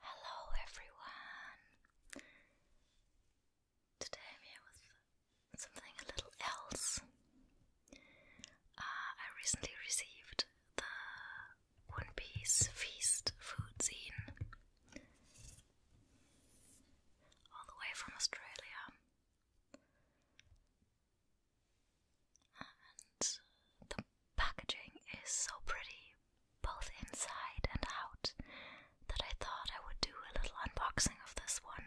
Hello everyone! Today I'm here with something a little else. Uh, I recently received the One Piece Feast food zine all the way from Australia. And the packaging is so pretty, both inside and out, that I thought I would do a little unboxing of this one.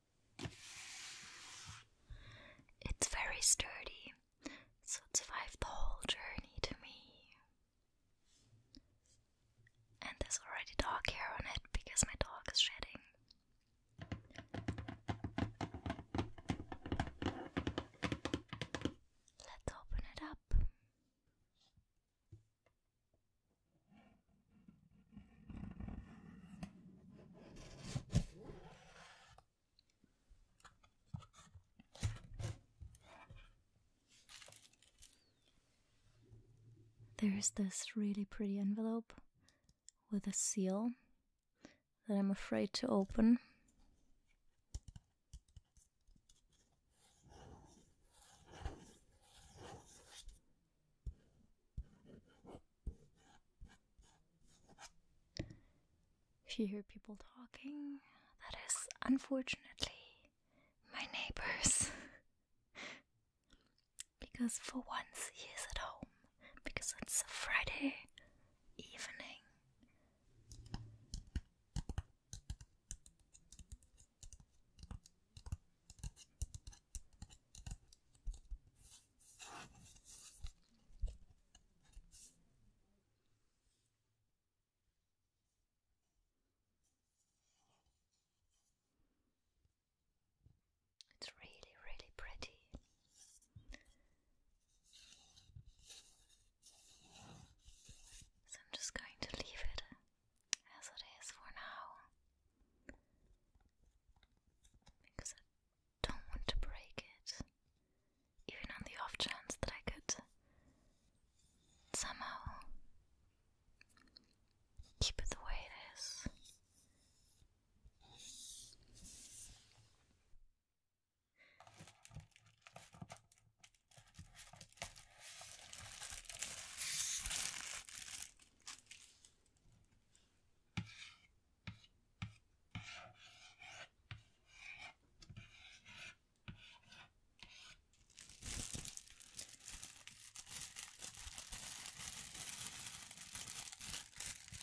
It's very sturdy, so it survived the whole journey to me. And there's already dog hair on it because my dog is shedding. Let's open it up. There's this really pretty envelope with a seal that I'm afraid to open. If you hear people talking, that is unfortunately my neighbors. because for once he is at home, because it's a Friday evening. It's really, really pretty. So I'm just going to leave it as it is for now. Because I don't want to break it. Even on the off chance that I could somehow keep it the way it is.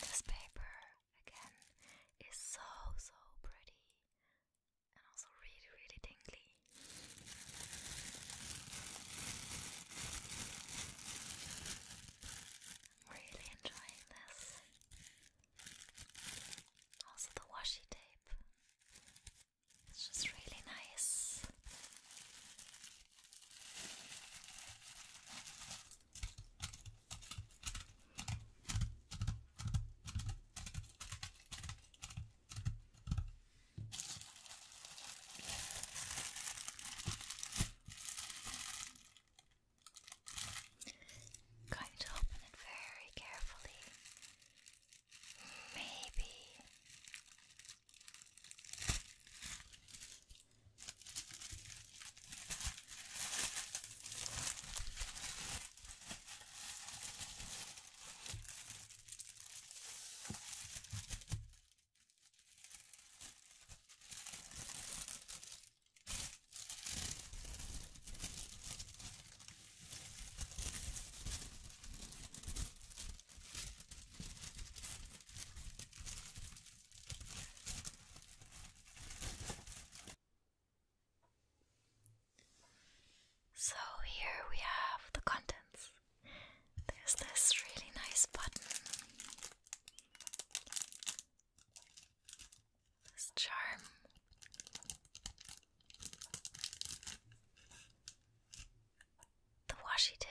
This paper again is so so pretty and also really really tingly really enjoying this. Also, the washi tape. It's just really nice. I'm going to open it very carefully. Maybe so here we have the contents. There's this really nice button. This charm. The washi tape.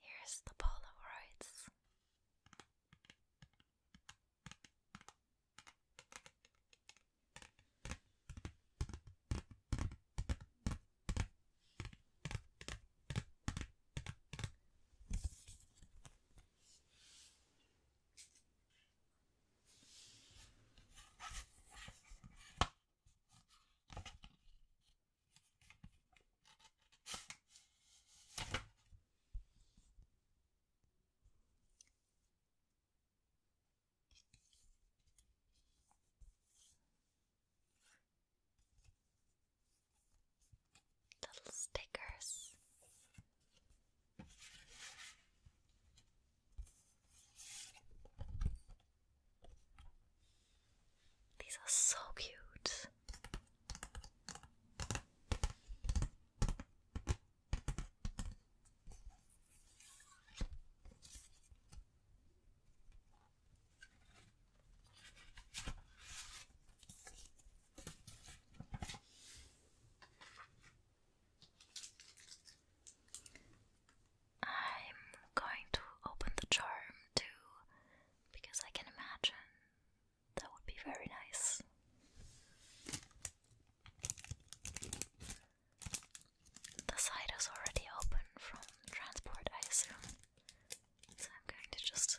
Here's the Polaroids. Little stickers these are so cute. I'm going to open the charm too, because I can imagine that would be very nice. The side is already open from transport, I assume, so I'm going to just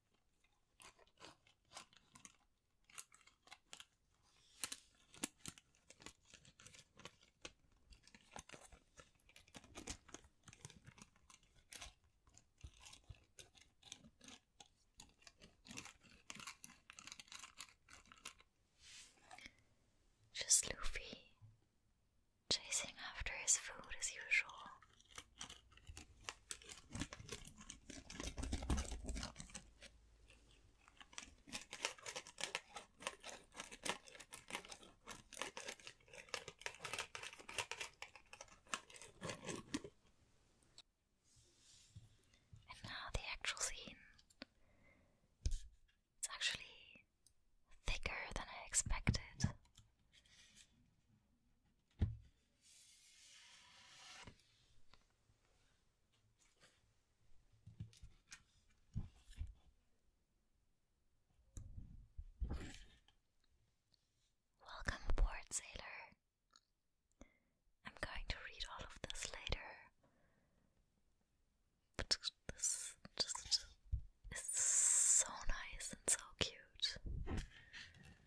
Just Luffy chasing after his food as usual. And now the actual scene. It's actually thicker than I expected. Welcome aboard, sailor. I'm going to read all of this later. this is so nice and so cute.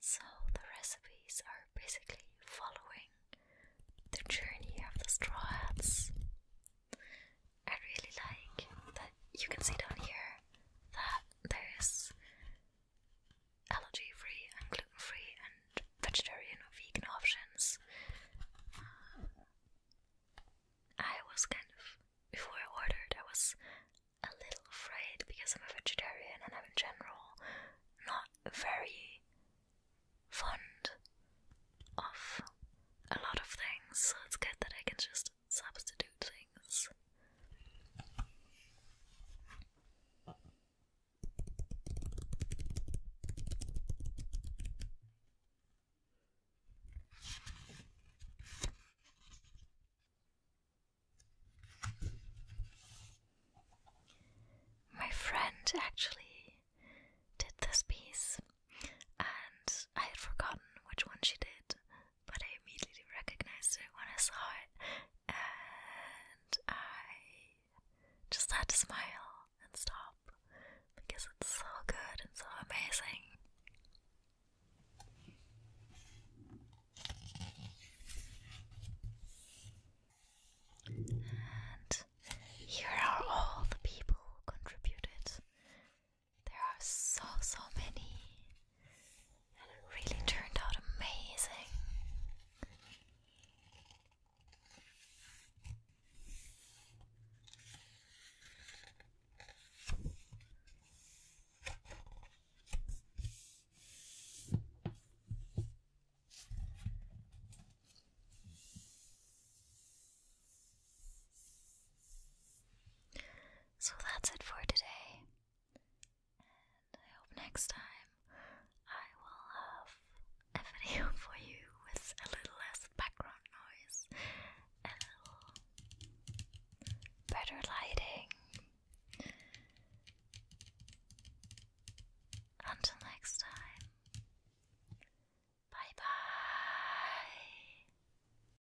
So, the recipes are basically following the journey of the straw hats. I really like that you can see down here that there's allergy free and gluten free and vegetarian or vegan options. Uh, I was kind of, before I ordered, I was a little afraid because I'm a vegetarian and I'm in general not very fond of a lot of things, so it's good that I can just substitute things. My friend actually did this piece, and I had forgotten which one she did, but I immediately recognized it when I saw it, and I just had to smile and stop because it's so good and so amazing. And here are all the people who contributed. There are so, so many, and it really turned out amazing. So that's it for today. And I hope next time I will have a video for you with a little less background noise, a little better lighting. Until next time, bye bye.